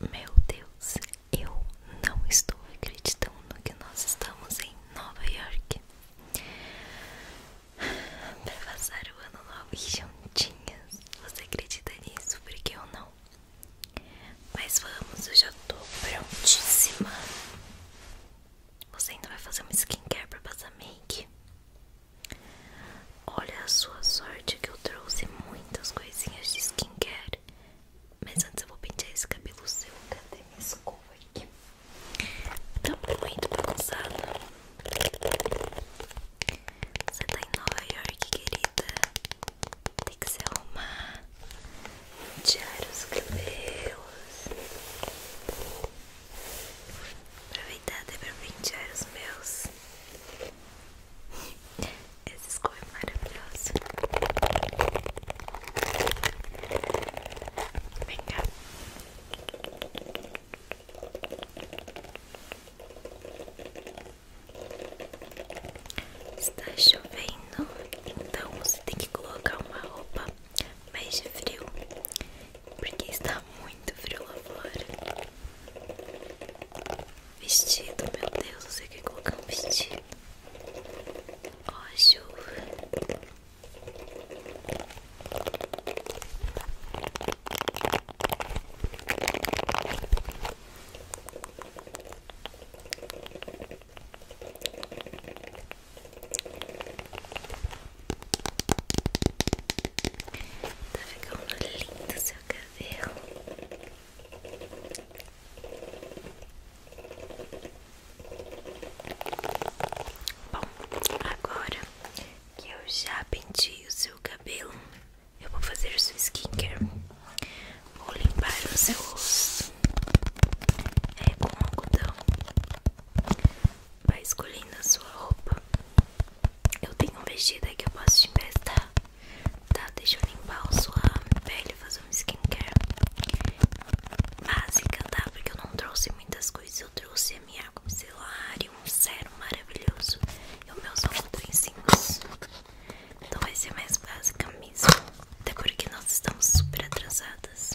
Meu Deus, eu não estou acreditando que nós estamos em Nova York para passar o ano novo juntinhas. Você acredita nisso? Porque eu não. Mas vamos, eu já tô prontíssima. Você ainda vai fazer uma skincare pra passar make? Olha a sua sorte que eu trouxe muitas coisinhas de skincare skincare. Mas antes eu vou pentear esse cabelo seu. Cadê minha escova aqui? Tá muito bagunçado. Você tá em Nova York, querida. Tem que se arrumar. Tirar os cabelos. Aproveitar até pra pentear os meus. Essa escova é maravilhosa. Vem cá. Está chovendo, então você tem que colocar uma roupa mais de frio, porque está muito frio lá fora. Vestido, meu Deus, você quer colocar um vestido? Ó, oh, Tá ficando lindo seu cabelo. Bom, agora que eu já pentei o seu cabelo, eu vou fazer o seu skincare. Vou limpar o seu rosto é com algodão. Vai escolhendo a sua roupa. Eu tenho um vestido aqui que eu posso te emprestar. Tá, deixa eu limpar a sua pele, fazer um skincare básica, tá? Porque eu não trouxe muitas coisas. Eu trouxe a minha com micelar e um sérum maravilhoso. E os meus algodõezinhos. Então vai ser mais básica mesmo. Até porque nós estamos super atrasadas.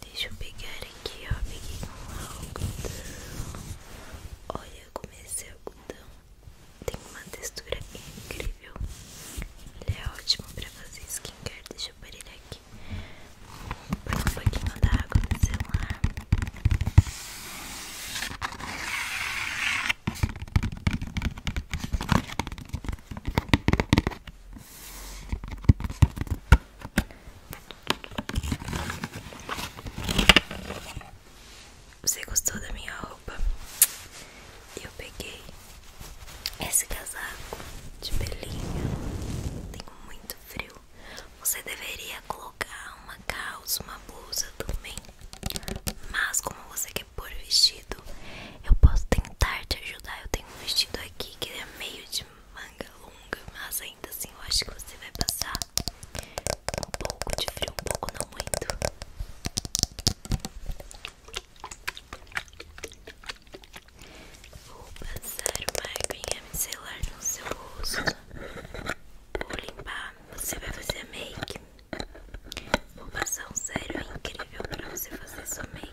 Deixa eu pegar aqui, ó. Peguei um algodão. Olha como é esse algodão tem uma textura incrível. Ele é ótimo pra fazer skincare. Deixa eu pôr ele aqui. Põe um pouquinho da água no celular. Você gostou da minha roupa? Eu peguei esse casaco de pelinho. Tem muito frio. Você deveria colocar uma calça, uma blusa também. Mas como você quer por vestido. Eu posso tentar te ajudar. Eu tenho um vestido aqui que é meio de manga longa, mas ainda assim eu acho que você vai passar um pouco de frio, um pouco não muito. Vou passar uma aguinha micelar no seu rosto. Vou limpar. Você vai fazer a make formação sério é incrível para você fazer sua make.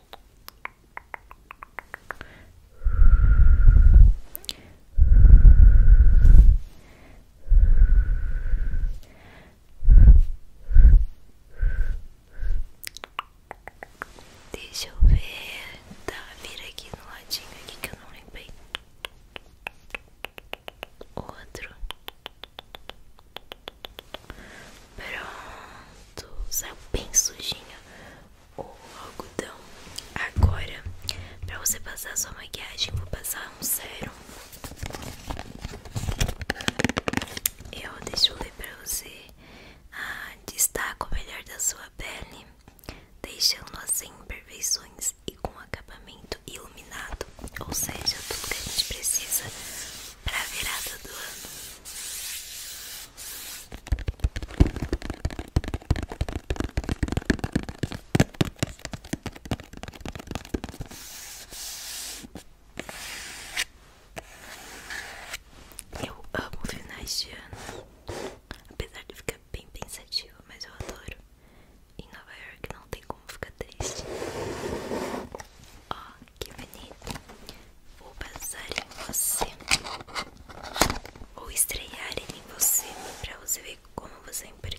Deixa eu ver, tá, vira aqui no ladinho aqui que eu não limpei. Outro Pronto, saiu bem sujinho o algodão. Agora, pra você passar sua maquiagem, vou passar um sérum. Eu deixo ler pra você ah, o melhor da sua pele, deixando assim imperfeições e com acabamento iluminado, ou seja, tudo que a gente precisa para virar todo ano. Eu amo finais de ano, apesar de ficar bem pensativa, mas eu adoro. Em Nova York não tem como ficar triste. Ó, ah, que bonito! Vou pensar em você, ou estrear em você para você ver como você é importante.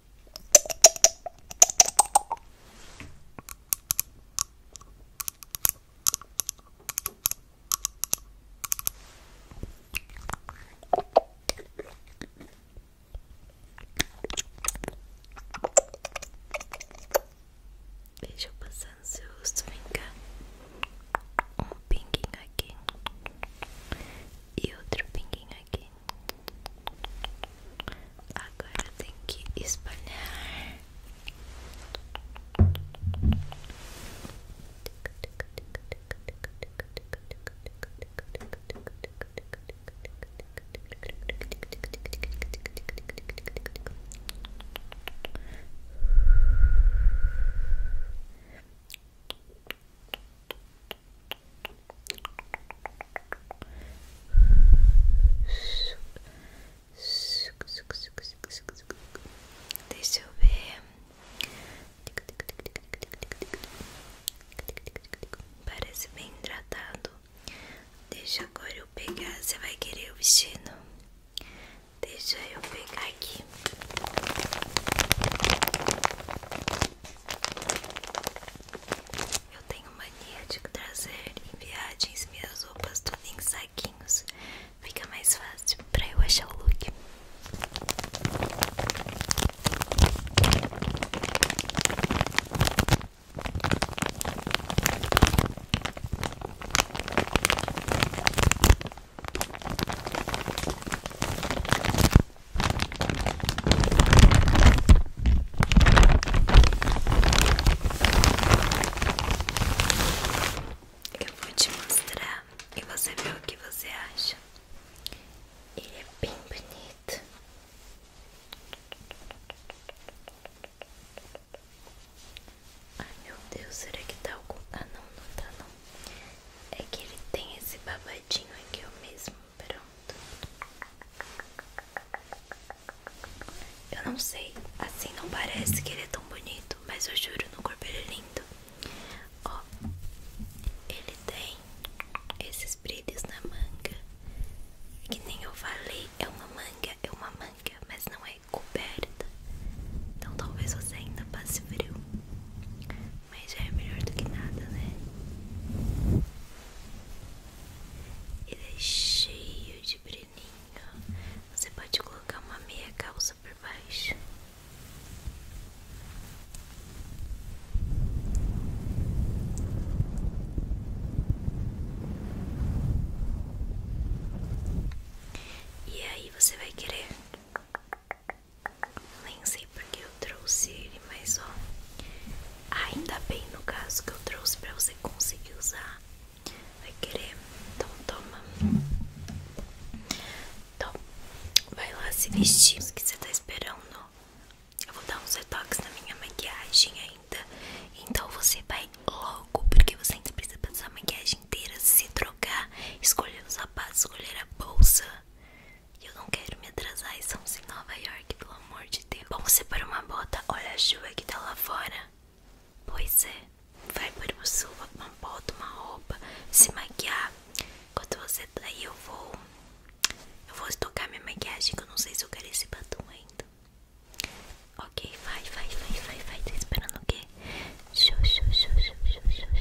Deixa eu passar no seu rosto, vem cá. Um pinguinho aqui e outro pinguinho aqui. Agora tem que espalhar. Agora Deixa eu ver. Parece bem hidratado. Deixa agora eu pegar. Você vai querer o vestido? Deixa eu pegar aqui. Eu tenho mania de trazer em viagens minhas roupas tudo em saquinhos. Fica mais fácil pra eu achar o look. Eu vou te mostrar e você vê o que você acha. Ele é bem bonito. Ai meu Deus, será que tá algum. Ah não, não tá não. É que ele tem esse babadinho ladinho aqui eu mesmo, pronto. Eu não sei, assim não parece que ele é tão bonito, mas eu juro, no corpo ele é lindo. Ó, ele tem esses brilhos na manga, que nem eu falei, é uma manga, é uma manga, mas não é coberta. Então talvez você ainda passe frio. Mas é melhor do que nada, né? Ele é cheio de breninho. Você pode colocar uma meia calça por baixo. E aí você vai querer nem sei porque eu trouxe ele, mas ó. Ainda bem no caso que eu trouxe pra você conseguir usar. Vai querer? Então toma. Então, vai lá se vestir. O que você tá esperando? Eu vou dar uns retoques na minha maquiagem ainda. Então você vai logo, porque você ainda precisa passar a maquiagem inteira, se trocar, escolher os sapatos, escolher a bolsa. E eu não quero me atrasar. Estamos em Nova York, pelo amor de Deus. Vamos separar uma bota. Olha a chuva que tá lá fora. Pois é. Vai para o sul, uma bota, uma roupa, se maquiar. Enquanto você tá aí, eu vou. Eu vou estocar minha maquiagem, que eu não sei se eu quero esse batom ainda. Ok, vai, vai, vai, vai, vai. Tá esperando o quê? Xô, xô, xô, xô, xô, xô,